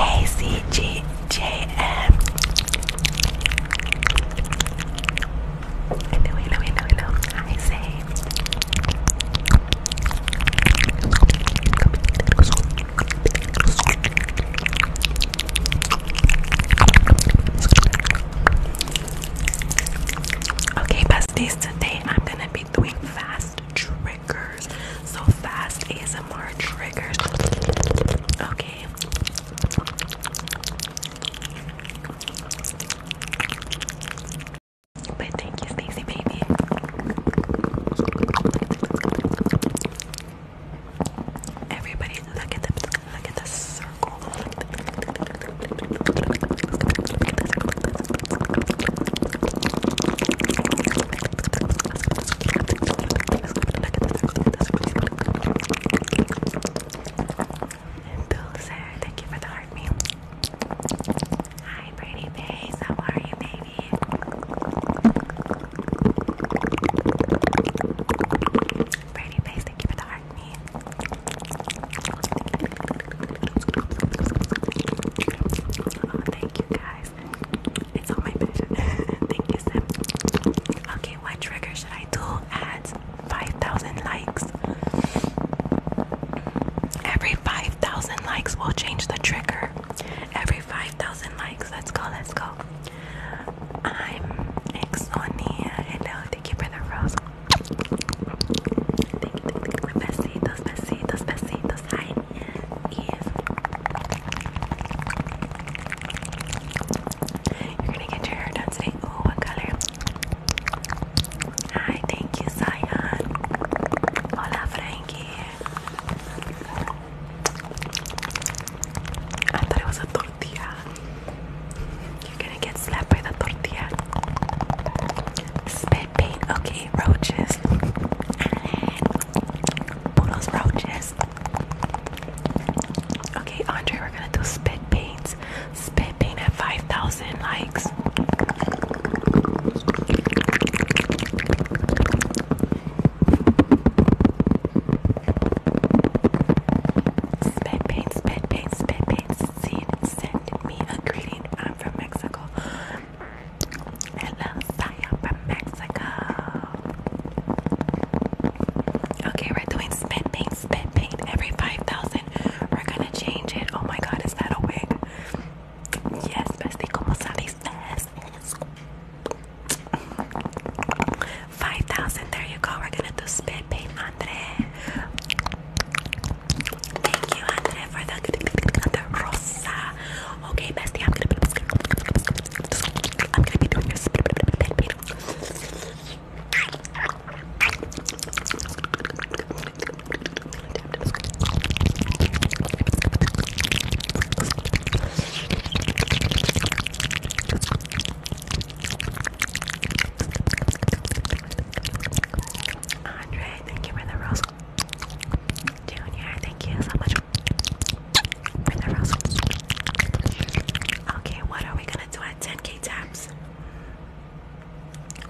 Hey CGJM. I know, I know, I know, I know. I say. Okay, besties, today I'm gonna be doing fast triggers. So, fast ASMR triggers. Okay. But thank you, Stacy, baby. Everybody, look at the look at the circle. Bill Sarah, thank you for the heart meal. Hi, pretty face. How are you, baby? Brady Face, thank you for the heart me. Oh, thank you guys. It's on my bed. thank you, Sam. Okay, what trigger should I do at 5,000 likes? Every 5,000 likes will change the trigger. Every 5,000 likes. Let's go, let's go. I'm Exonia. Hello, uh, uh, thank you for the rose. Thank you, thank you. Besitos, besitos, besitos. Hi. Yes. You're gonna get your hair done today. Oh, what color? Hi, thank you, Zion. Hola, Frankie. I thought it was a tortilla. You're gonna get slapped by the tortilla. Spit paint, okay, roaches. Puros roaches. Okay, Andre, we're gonna do spit paints. Spit paint at 5,000 likes. Spit paint, spit paint, spit paint. Scene. Send me a greeting. I'm from Mexico. Hello, Saya from Mexico. Okay, we're doing spit paint, spit paint every 5,000. We're gonna change it. Oh my god, is that a wig? Yes, bestie, como sabes, yes, yes. 5,000, there you go. We're gonna do spit paint, Andre. Thank you, Andre, for the, the rosa. Okay, bestie, I'm gonna be, I'm gonna be doing your spit paint. Andre, thank you for the rose. Junior, thank you so much for the rose. Okay, what are we gonna do at 10k taps?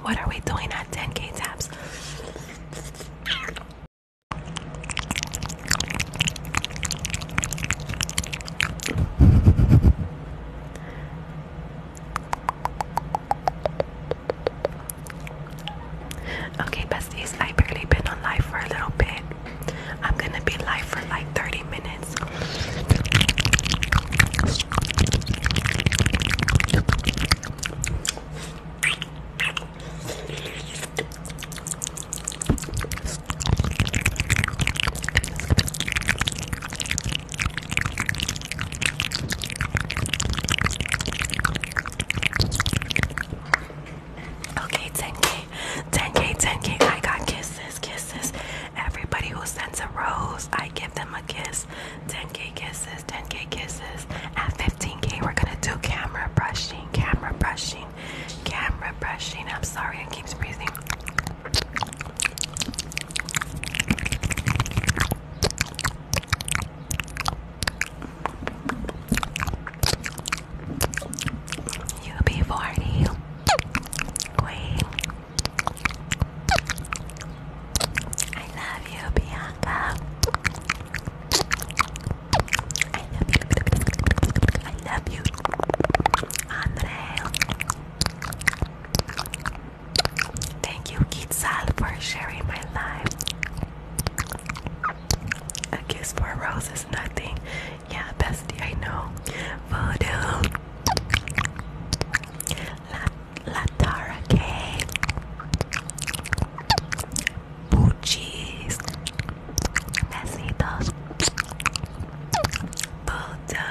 What are we doing at 10k taps? Okay, besties, I've barely been on live for a little bit. I'm gonna be live for like 30 minutes. Okay, 10k, 10k, 10k. I got kisses, kisses. Everybody who sends a rose, I give them a kiss. 10k kisses, 10k kisses at 15k we're gonna do camera brushing, camera brushing, camera brushing. I'm sorry, it keeps breathing. you be 40. Wait. I love you, Bianca. I love you. I love you. Andrea. Thank you, Quetzal, for sharing my life. A kiss for a nothing. Yeah, bestie, I know. Voodoo. La, La Tara Puchis. Besitos. Budo.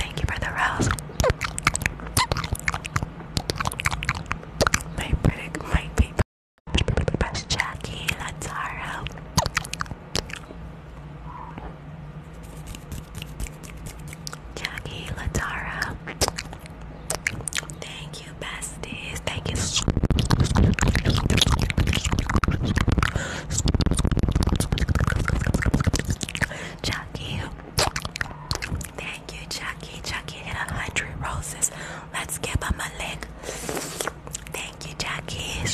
Thank you for the rose. My pretty, my baby. Jackie Lataro. Jackie Latara. Thank Thank you, besties. Thank you. Chucky. Thank you, Chucky. Chucky hit a hundred roses. Let's give him a lick. Thank you, Chucky.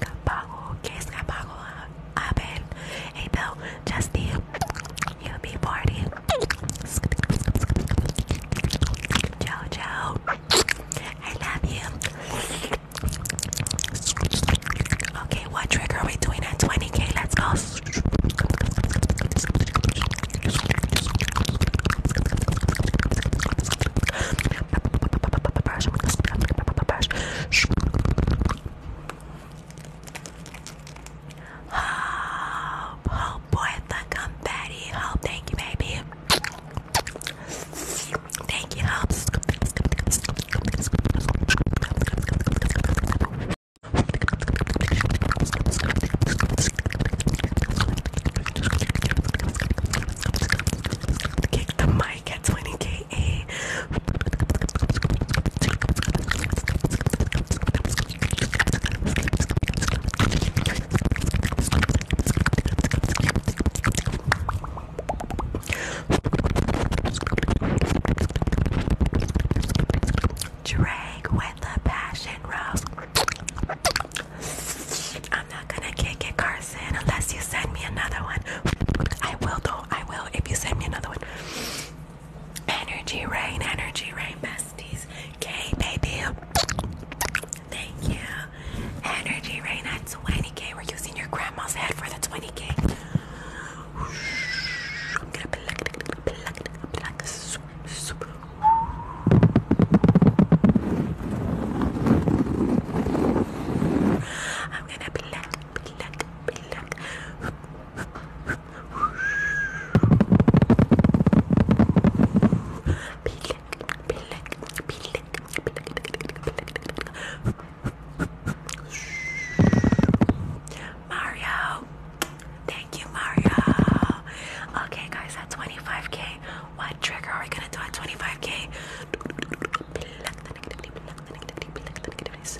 Apago, que es apago? A ver, então, just you, you be party. Ciao, I love you. Okay, what trigger are we doing at 20k? Let's go. Hope, hope, puerta, confetti, hope, thank you, baby. Thank you, hope. Kick the mic at 20k. Drag with the passion rose. I'm not gonna kick it, Carson, unless you send me another one. I will though. I will if you send me another one. Energy rain, energy rain, besties. K baby. Thank you. Energy rain at 20k. We're using your grandma's head for the 20k. I'm gonna pluck it, pluck it, pluck soup. I'm gonna pluck, pluck, pluck. Mario, thank you, Mario. Okay, guys, at 25k, what trigger are we gonna do at 25k? It's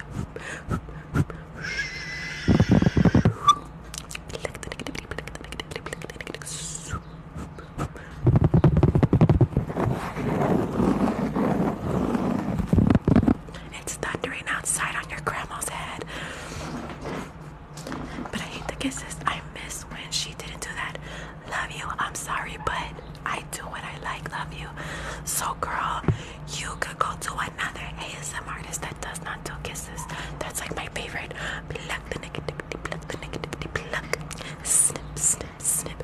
thundering outside on your grandma's head. But I hate the kisses. I miss when she didn't do that. Love you. I'm sorry, but I do what I like. Love you. So, girl, you could go to another ASM artist that does not do kisses. That's like my favorite. Snip, snip, snip.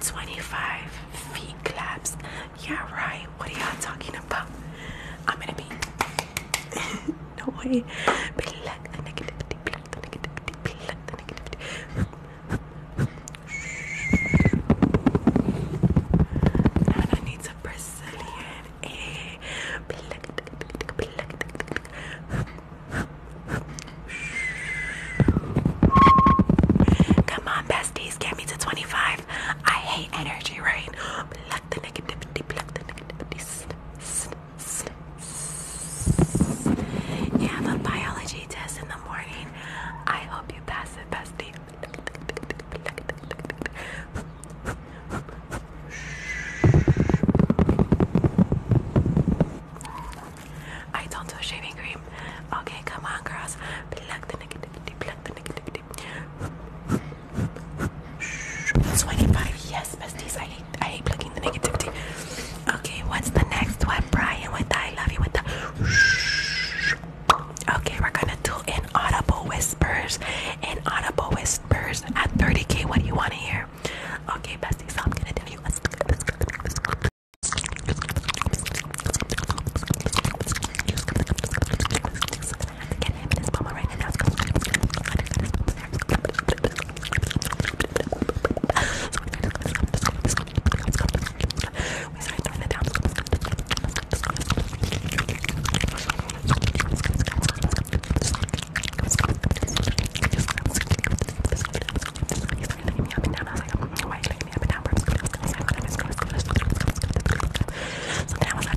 Twenty-five feet claps. Yeah, right. What are y'all talking about? I'm gonna be no way. Black the negativity, black the negativity, black the negativity. I need some Brazilian eh? Black, black, black, black. Come on, besties, get me to 25. I hate energy rain. Black the negativity, black the negativity. You have biology test in the morning. I hope you pass it, bestie. I don't do shaving cream. Okay, come on, girls. Swinging body, yes, besties. I hate, I hate plugging the negativity. Okay, what's the next one, Brian? With the I love you, with the Okay, we're gonna do inaudible whispers. Inaudible whispers at 30k. What do you want to hear? Okay, besties, so I'm gonna tell you. Let's Get happiness mama right now. Let's go. We started throwing it down. He started licking me up and down. I was like, why are you licking me up and down? So then I was like,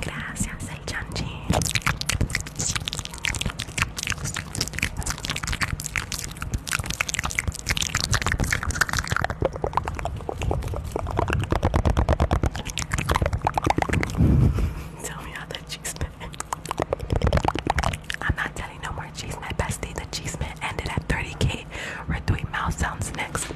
Gracias, el chanchi. Tell me how that cheese I'm not telling no more cheese, man, bestie. The cheese man ended at 30k. We're doing mouth sounds next.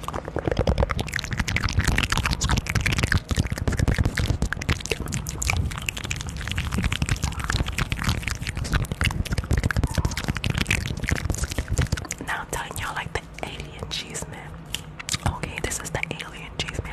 Now I'm telling y'all like the alien cheese man. Okay, this is the alien cheese man.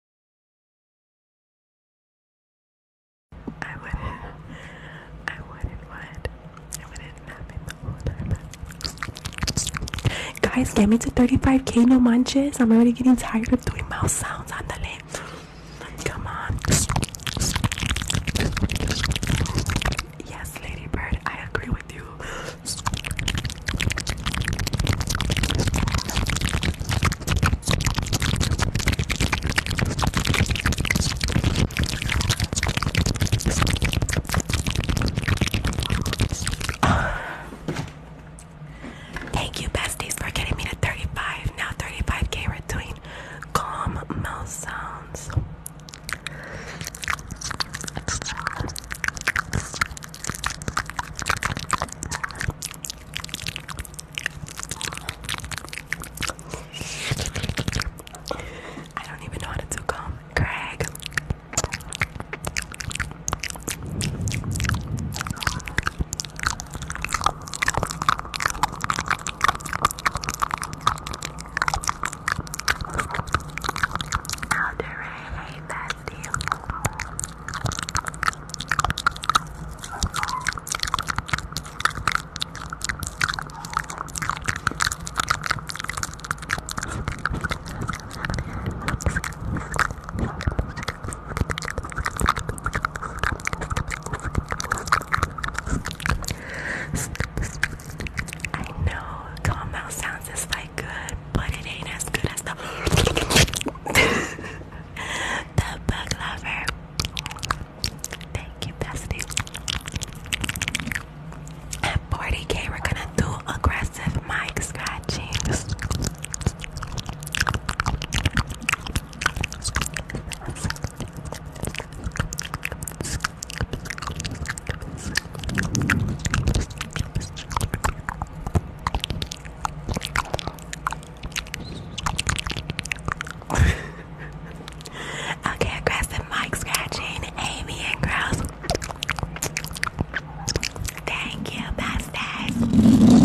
I would I wouldn't what? I wouldn't nap in the Guys, get me to 35k, no munches. I'm already getting tired of doing mouth sounds on the lip. Come on. Yes, Ladybird, I agree with you. Thank you, besties, for getting me to 35. Now 35k, we calm mouth sounds. I don't even know how to do calm. Craig. i do really hate that deal. I know calm mouth sounds is like good, but it ain't as good as the the bug lover. Thank you, bestie. At 40k, we're gonna do aggressive mic scratchings okay, aggressive mic scratching, Amy and Gross. Thank you, Bastards. Amy.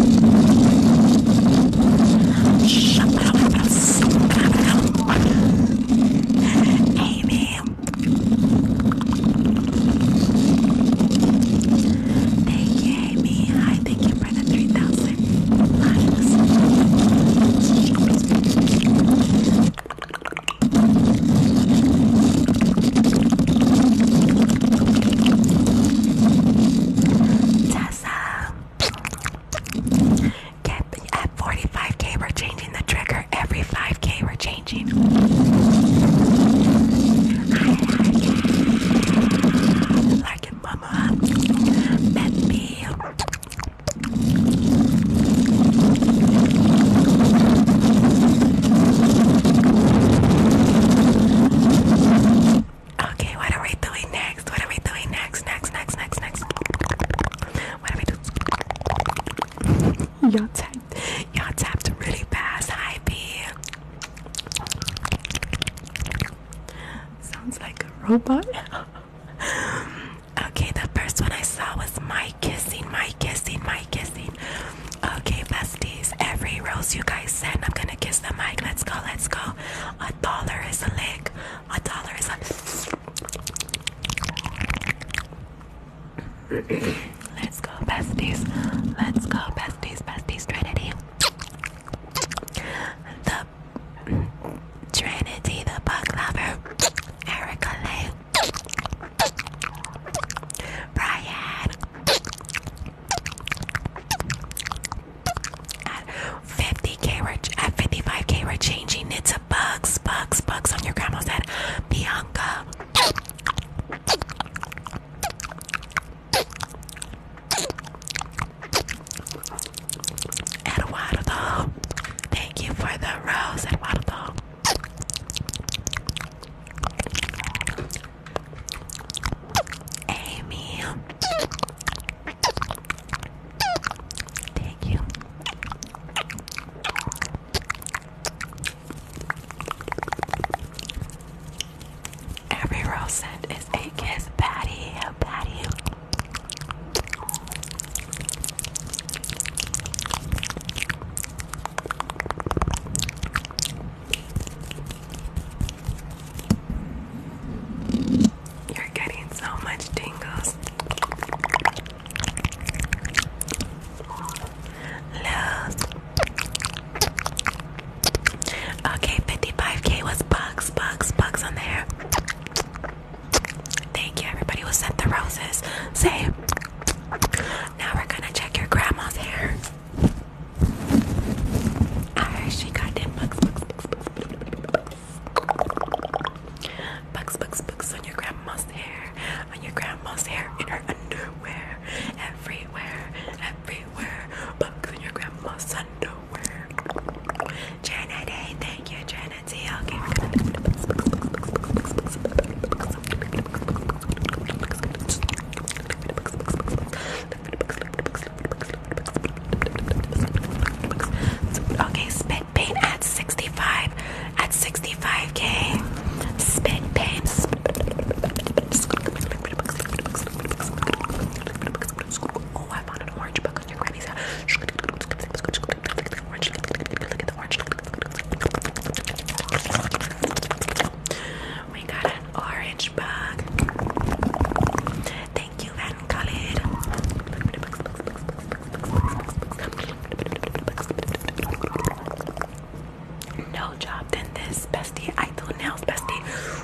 Thank you, Amy. Hi, thank you Tessa. at 45k, we're changing the trigger. Every 5k, we're changing. Larkin, Okay, what are we doing next? What are we doing next? Next, next, next, next. What are we doing? Y'all tapped. Y'all tapped really fast. Hi, B. Sounds like a robot. okay, the first one I saw was my kissing, my kissing, my kissing. Okay, besties, every rose you guys send, I'm gonna kiss the mic. Let's go, let's go. A dollar is a lick. A dollar is a. let's go, besties. Let's go, besties, besties, Trinity the Trinity, the bug lover, Erica Lay, Brian 50k we're 55k we're changing it to bugs, bugs, bugs on your grandma's head. Bianca Eduardo, thank you for the rose, Eduardo. Amy, thank you. Every rose scent is a kiss, Patty. Patty. You're getting so much tingles. Love. Okay, 55k was bugs, bugs, bugs on there. Thank you, everybody who sent the roses. Say, now we're gonna check your grandma's hair. Alright, she got them bugs, bugs, bugs, on your grandma's hair, on your grandma's hair, in her underwear, everywhere, everywhere, bugs on your grandma's underwear work. thank you, Janet Okay, we're gonna Okay, spit paint at 65 at 65k. Spit paint. Oh, I found an orange bug on your granny's house. Orange, look an orange bug. Thank you, Van Khalid. No job than this, bestie. I do nails, bestie.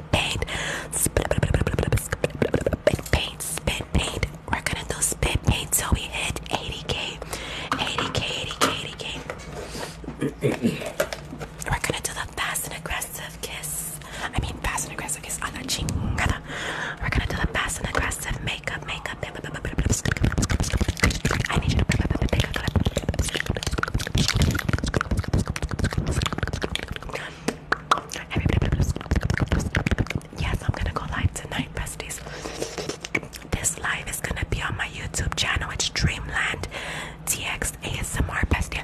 spit paint. Spit paint, spit paint. We're gonna do spit paint till we hit 80k. 80k, 80k, 80k. We're gonna do the fast and aggressive kiss. I mean, fast and aggressive kiss on the cheek. We're gonna do the fast and aggressive makeup, makeup. I need you to pick up, pick up, pick up. Yes, I'm gonna go live tonight, besties. This live is gonna be on my YouTube channel. It's Dreamland TX ASMR, bestie.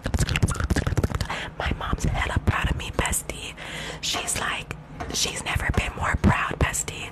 My mom's hella proud of me, bestie. She's like, she's never been more proud, bestie.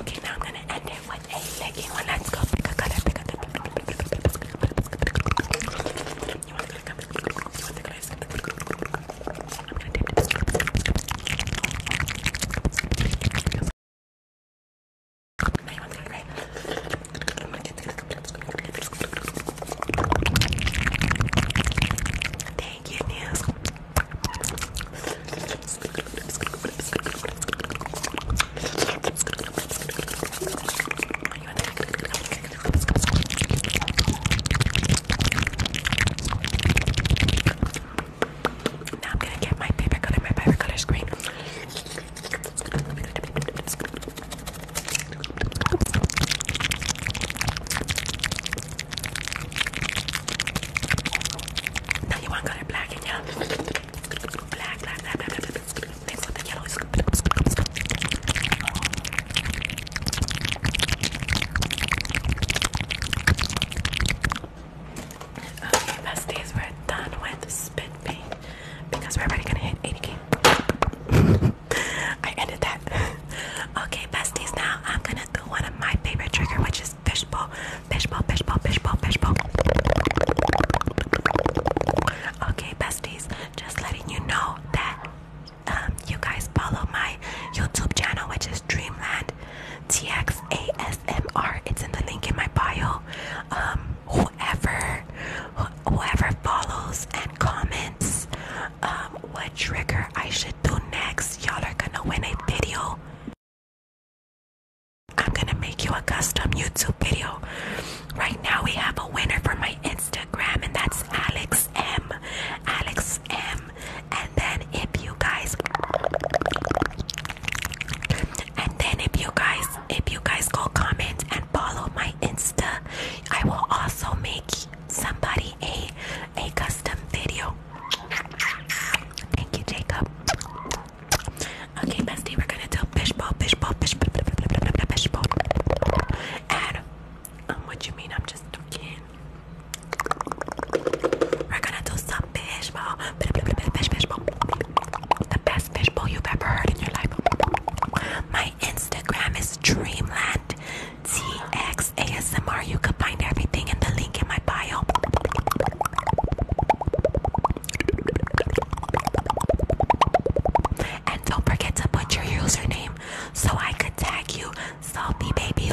Okay, now I'm gonna end it with a legging one. Let's go pick a color, pick a color. Thank you, News. Now I'm gonna get my paper color, my paper color screen. Now you want to black and yellow. Black, black, black, black, black, black. Mix with the yellow. Okay, besties, we're done with spit paint because we're already gonna hit 80k. I ended that. okay, besties, now I'm gonna do one of my favorite trigger, which is is fishbowl, fishbowl, fishbowl, fishbowl, fishbowl. Okay, besties, just letting you know that um, you guys follow my YouTube channel, which is Dreamland TXASMR. It's in the link in my bio. Um, whoever, wh whoever follows and comments um, what trigger I should do next, y'all are gonna win a video. I'm gonna make you a custom YouTube video. Right now, we have a winner for my Instagram, and that's Alex M. Alex M. And then, if you guys, and then if you guys, if you guys go comment and follow my Insta, I will also make somebody a a custom video. Thank you, Jacob. Okay, bestie, we're gonna do fishbowl, fishbowl, fishbowl, and um, what you mean? I'm just talking. We're gonna do some fishbowl, the best fishbowl you've ever heard in your life. My Instagram is Dreamland TX You can find everything in the link in my bio. And don't forget to put your username so I could tag you, Salty Baby.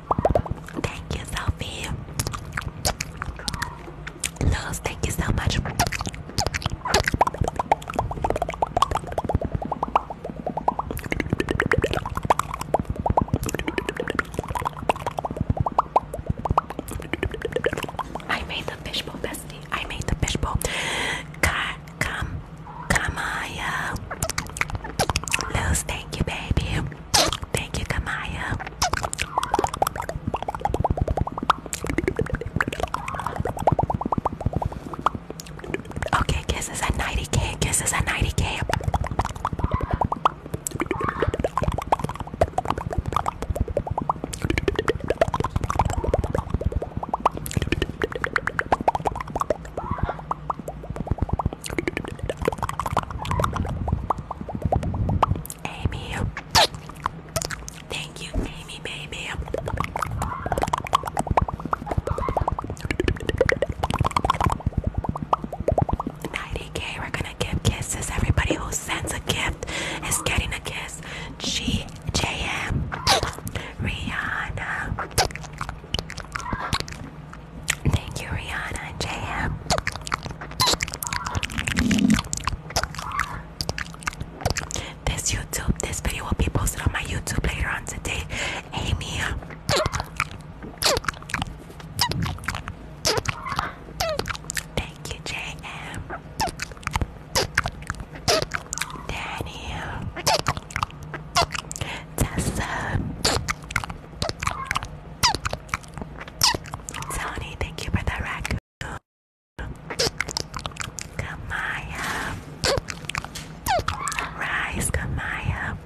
Thank you, Sophie. Luz, thank you so much. I made the fishbowl, bestie. I made the fishbowl. Ka come, Kamaya. Luz, thank you, baby. Thank you, Kamaya. Okay, kisses at 90k, kisses at 90k. Amy. Thank you, Amy, baby. Ninety K. We're gonna give kisses. Everybody who sends a gift is getting a kiss. G J M. Rihanna. Thank you, Rihanna and JM. This YouTube, this video will be posted on my YouTube later on today. Amy. Thank you, JM. Danny. Tessa. Sony, thank you for the raccoon. Kamaya. Rise, Kamaya.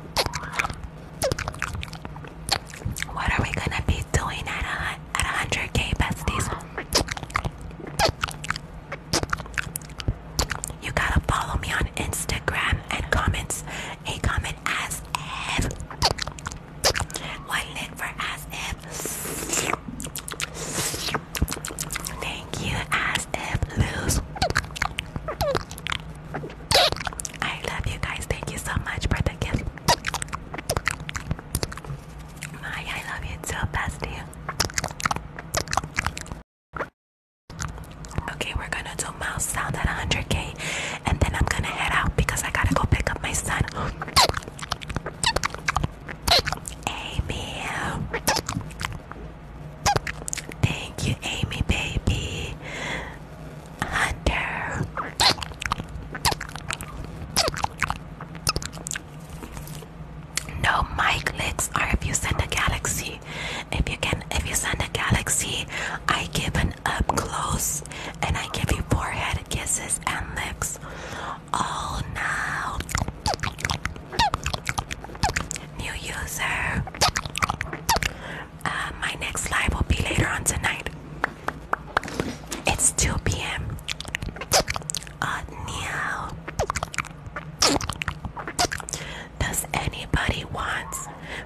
What are we gonna be doing at a at hundred K besties? You gotta follow me on Instagram and comments. A comment as if. One lit for as if. Thank you, as if lose. I love you guys. Thank you so much for the gift. My, I love you too, bestie. Okay, we're gonna do mouse sound at 100k, and then I'm gonna head out because I gotta go pick up my son. Amy, thank you, Amy, baby. Hunter. No mic licks are if you send a galaxy. If you can, if you send a galaxy, I give an up close and I give you forehead kisses and lips. All now. New user. Uh, my next live will be later on tonight. It's 2 p.m. Uh, meow. Does anybody want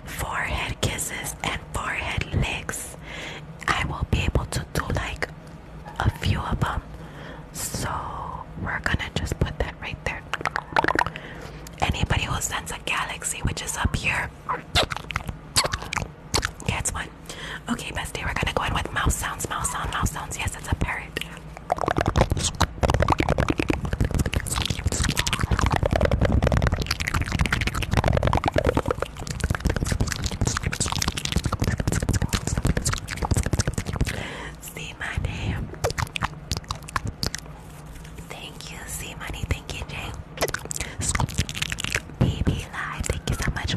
forehead kisses and forehead licks? I will be able to do like a few of them. So we're gonna just put that right there. Anybody who sends a galaxy, which is up here, gets one. Okay, bestie, we're gonna go in with mouse sounds, mouse sounds, mouse sounds. Yes, it's a parrot. See money. Thank you, see money. Thank you, Jay. Baby live. Thank you so much.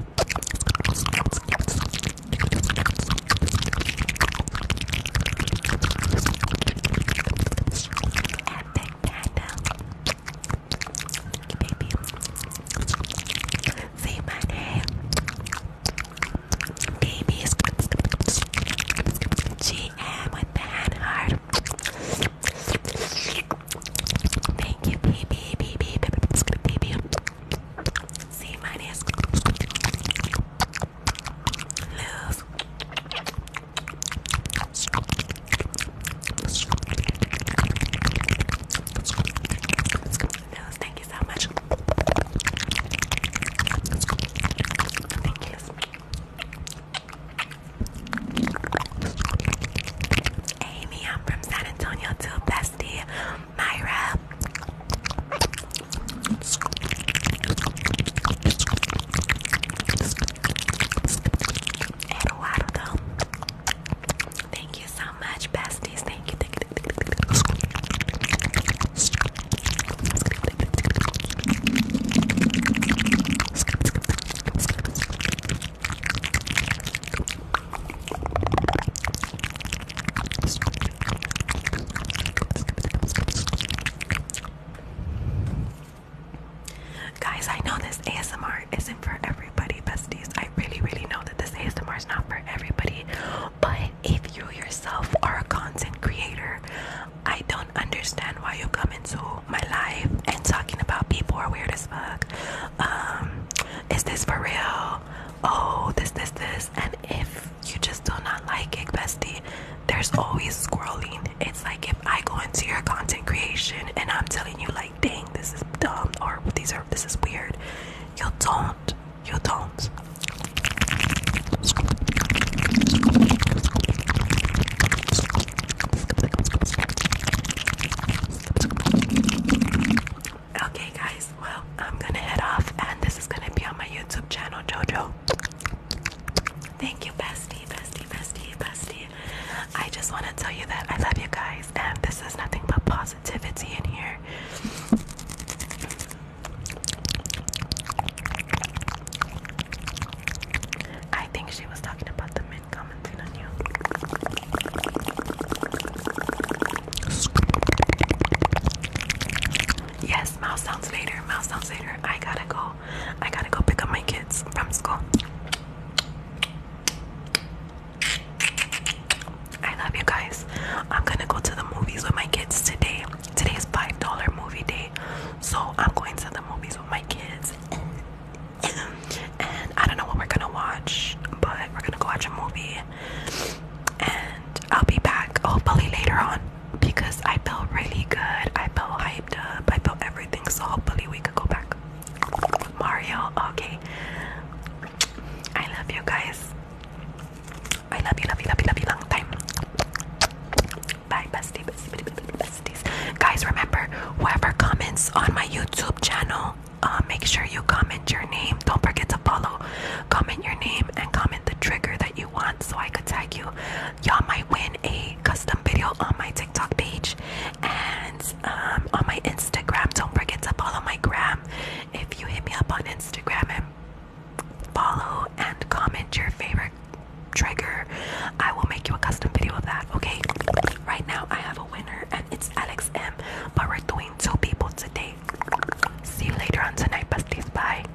Thank you, baby. Say my name. Babies. GM with the heart. Thank you, baby, baby, baby, baby. See my name. Lose thank you so much. Amy, I'm from San Antonio too, bestie. Myra. Eduardo. Thank you so much, besties. Thank you. Guys, I know this ASMR isn't for everybody, besties. I really, really know that this ASMR is not for everybody. But if you yourself are a content creator, I don't understand why you come into my life and talking about people are weird as fuck. Um, is this for real? Oh, this, this, this. And if you just do not like it, bestie, there's always scrolling. It's like if I go into your content creation and I'm telling you like, dang, this is dumb or these are this is weird. You don't. You don't. Okay, guys. Well, I'm gonna head off, and this is gonna be on my YouTube channel, Jojo. Thank you, bestie, bestie, bestie, bestie. I just want to tell you that I love you guys, and this is nothing but positivity in here. I think she was talking about the men commenting on you. Yes, mouse sounds later. Mouse sounds later. I gotta go. I gotta go pick up my kids from school. I love you guys. I'm gonna go to the movies with my kids today. Today is $5 movie day. So I'm going to the movies with my kids. and I don't know what we're gonna watch, but we're gonna go watch a movie. And I'll be back hopefully later on because I felt really good. I felt hyped up. I felt everything. So hopefully we could go back. Mario, okay. I love you guys. I love you, love you, love you, love you, long time. Bye, bestie, bestie, besties. Guys, remember, whoever comments on my YouTube channel, uh, make sure you comment your name. Don't forget to follow. Comment your name and comment the trigger that you so I could tag you. Y'all might win a custom video on my TikTok page and um, on my Instagram. Don't forget to follow my gram if you hit me up on Instagram and follow and comment your favorite trigger. I will make you a custom video of that, okay? Right now, I have a winner and it's Alex M. But we're doing two people today. See you later on tonight, besties. Bye.